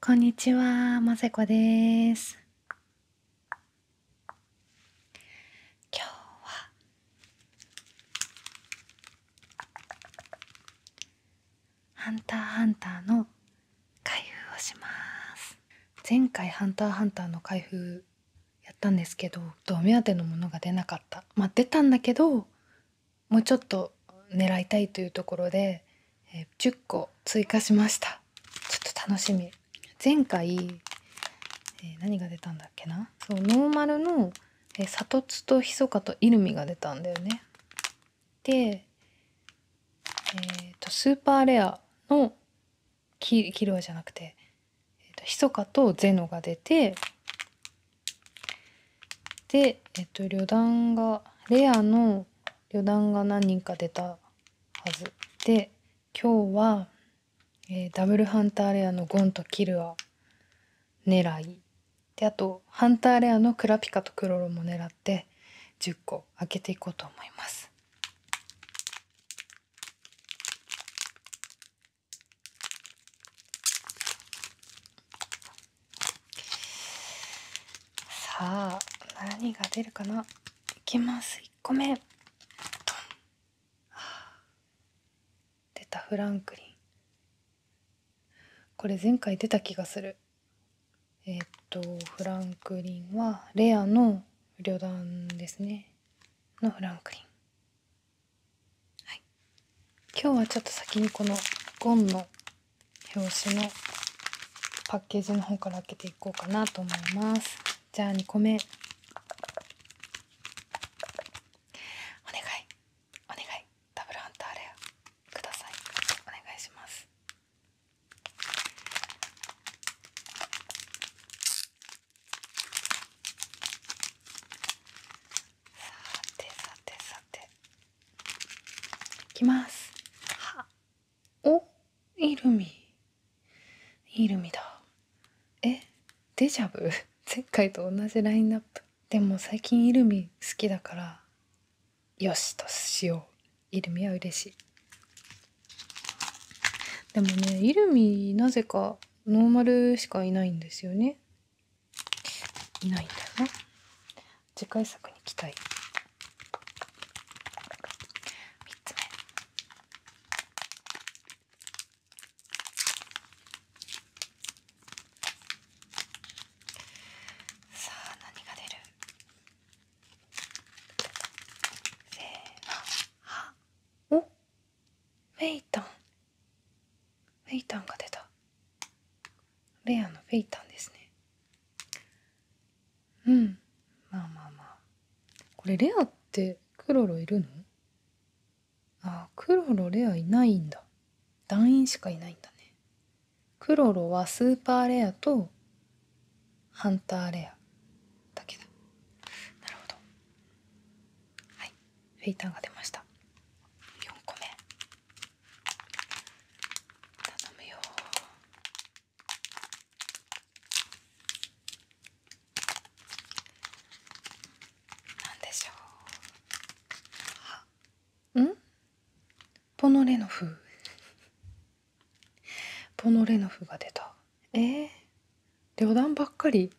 こんにちは、ませこです。今日はハンターハンターの開封をします。前回ハンターハンターの開封やったんですけど、お目当てのものが出なかった。まあ出たんだけど、もうちょっと狙いたいというところで、え10個追加しましたちょっと楽しみ前回、え何が出たんだっけなそうノーマルの、えサトツとヒソカとイルミが出たんだよねでえっと、スーパーレアのキキルアじゃなくて、えーと、とヒとゼノが出てで、えっと、旅団が、レアの旅団が何人か出たはず。で、今日は、えダブルハンターレアのゴンとキルア狙い。で、あと、ハンターレアのクラピカとクロロも狙って、10個開けていこうと思います。さあ何が出るかないきます1個目出たフランクリンこれ前回出た気がするえっとフランクリンはレアの旅団ですねのフランクリンはい、今日はちょっと先にこのゴンの表紙のパッケージの方から開けていこうかなと思いますじゃあ2個目お願いお願いダブルアンターレアくださいお願いしますてさてさていきますはおイルミイルミだえデジャブ 前回と同じラインナップでも最近イルミ好きだからよしとしようイルミは嬉しいでもねイルミなぜかノーマルしかいないんですよねいないんだよね次回作に期待3つ目さあ何が出るせーのおフェイタンフェイタンが出たレアのフェイタンですねうんまあまあまあこれレアってクロロいるのああ、クロロレアいないんだ団員しかいないんだねクロロはスーパーレアとハンターレアだけだなるほどはいフェイターが出ました4個目頼むよなんでしょううんポノレノフポノレノフが出たえー、旅団ばっかり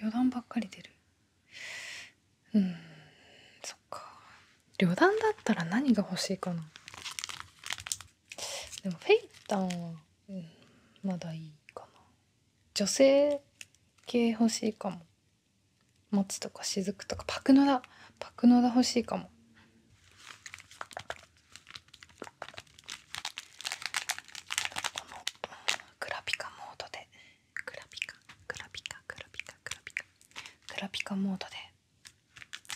旅団ばっかり出るうんそっか旅団だったら何が欲しいかなでもフェイタンは、うん、まだいいかな女性系欲しいかも松とか雫とかパクノダパクノダ欲しいかもこのグラピカモードでグラピカグラピカグラピカグラピカグラピカモードで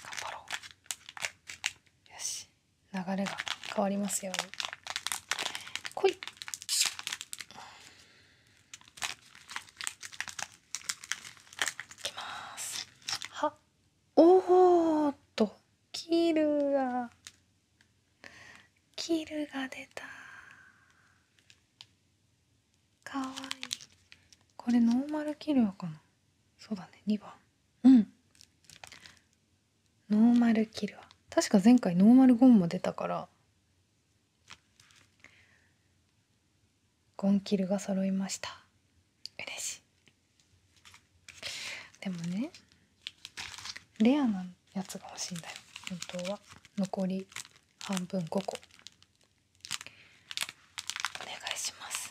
頑張ろうよし流れが変わりますように来いいきますはおーっとキルがキルが出たかわいこれノーマルキルかなそうだね2番うんノーマルキルア確か前回ノーマルゴンも出たからゴンキルが揃いました嬉しいでもねレアなやつが欲しいんだよ本当は残り半分5個お願いします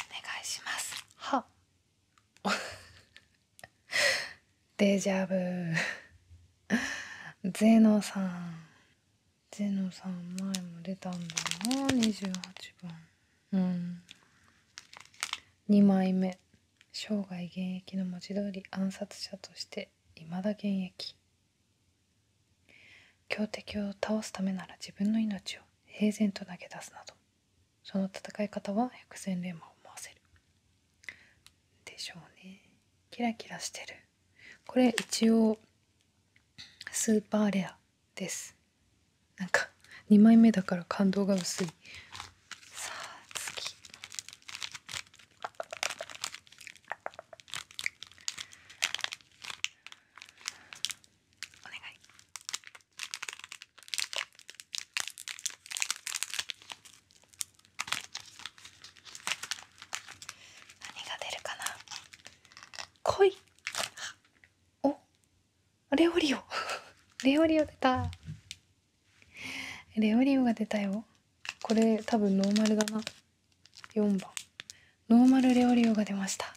お願いしますは デジャブ ゼノさんゼノさん前も出たんだな28番うん2枚目生涯現役の文字通り暗殺者として未だ現役強敵を倒すためなら自分の命を平然と投げ出すなどその戦い方は百戦錬磨を思わせるでしょうねキラキラしてるこれ一応スーパーレアですなんか2枚目だから感動が薄いさあ次お願い何が出るかな濃おレオリオ レオリオ出たレオリオが出たよこれ多分ノーマルだな4番ノーマルレオリオが出ました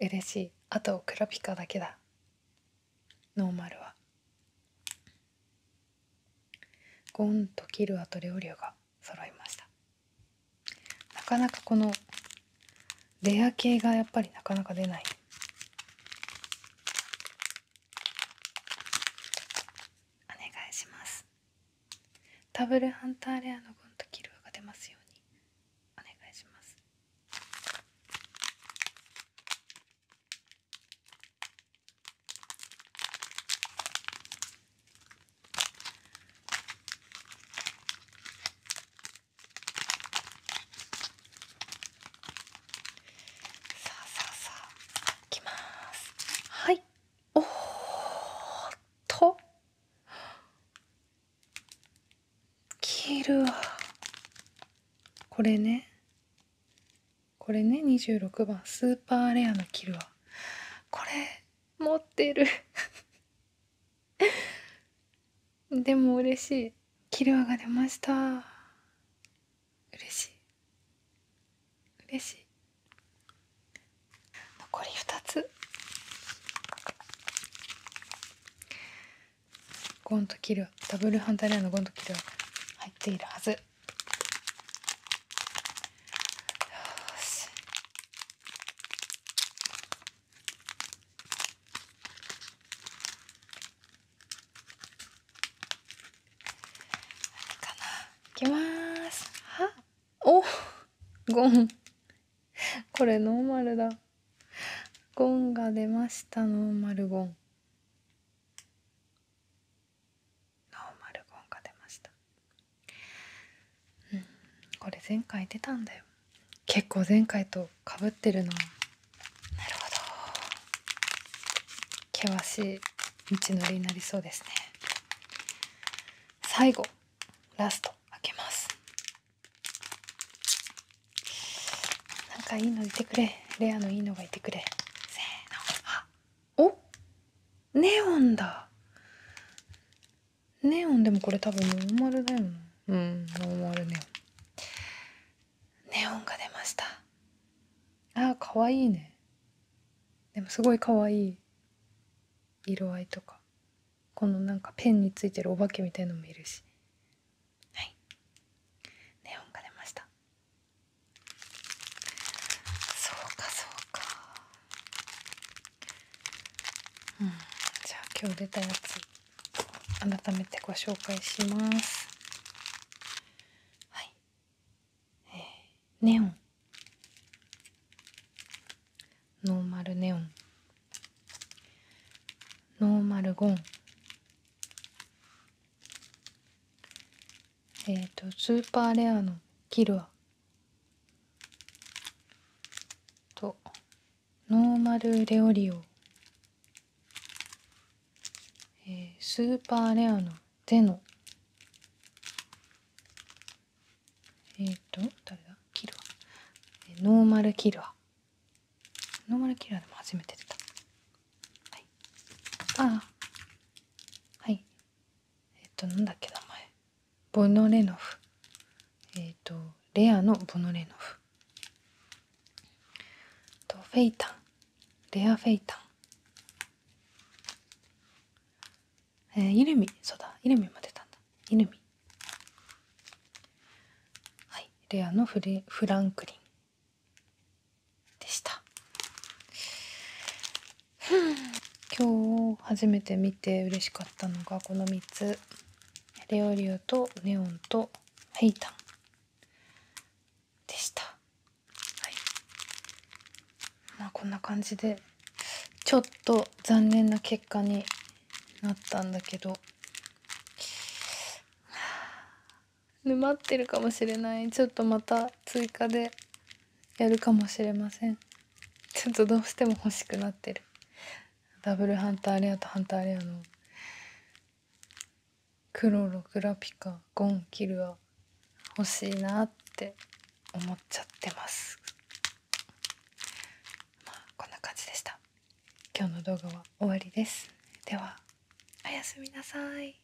嬉しいあと黒ピカだけだノーマルはゴンとキルアと両竜が揃いましたなかなかこのレア系がやっぱりなかなか出ないお願いしますタブルハンターレアのゴンとキルアが出ますようにお願いしますさあさあさあきますはいおーっと切るわこれねこれね26番スーパーレアのキルはこれ持ってる でも嬉しいキルアが出ました嬉しい嬉しい残り2つゴンとキルダブルハンターレアのゴンとキルは入っているはずよしあれかないきますはおゴン。これノーマルだ。ゴンが出ました、ノーマルゴン。ノーマルゴンが出ました。うん、これ前回出たんだよ。結構前回とかぶってるな。なるほど。険しい道のりになりそうですね。最後。ラスト開けますなんかいいのいてくれレアのいいのがいてくれせーのあおネオンだネオンでもこれ多分ノーマルだよなうんノーマルネオンネオンが出ましたあーかわいいねでもすごいかわいい色合いとかこのなんかペンについてるお化けみたいのもいるしはいネオンが出ましたそうかそうかうんじゃあ今日出たやつ改めてご紹介しますはいネオンノーマルネオンノーマルゴンえっ、とスーパーレアのキルアとノーマルレオリオ、えー、スーパーレアのでのえっ、と誰だキルアノーマルキルアノーマルキルアでも初めて出たはいああはいえっ、となんだっけ名前ボノレノフえっ、とレアのボノレノフとフェイタンレアフェイタンえー、イルミそうだイルミも出たんだイルミはいレアのフレフランクリンでした今日初めて見て嬉しかったのがこの3つレオリオとネオンとヘイタンでしたはいまあこんな感じでちょっと残念な結果になったんだけど沼ってるかもしれないちょっとまた追加でやるかもしれませんちょっとどうしても欲しくなってるダブルハンターレアとハンターレアのクロログラピカゴンキルア欲しいなって思っちゃってますまあこんな感じでした今日の動画は終わりですではおやすみなさい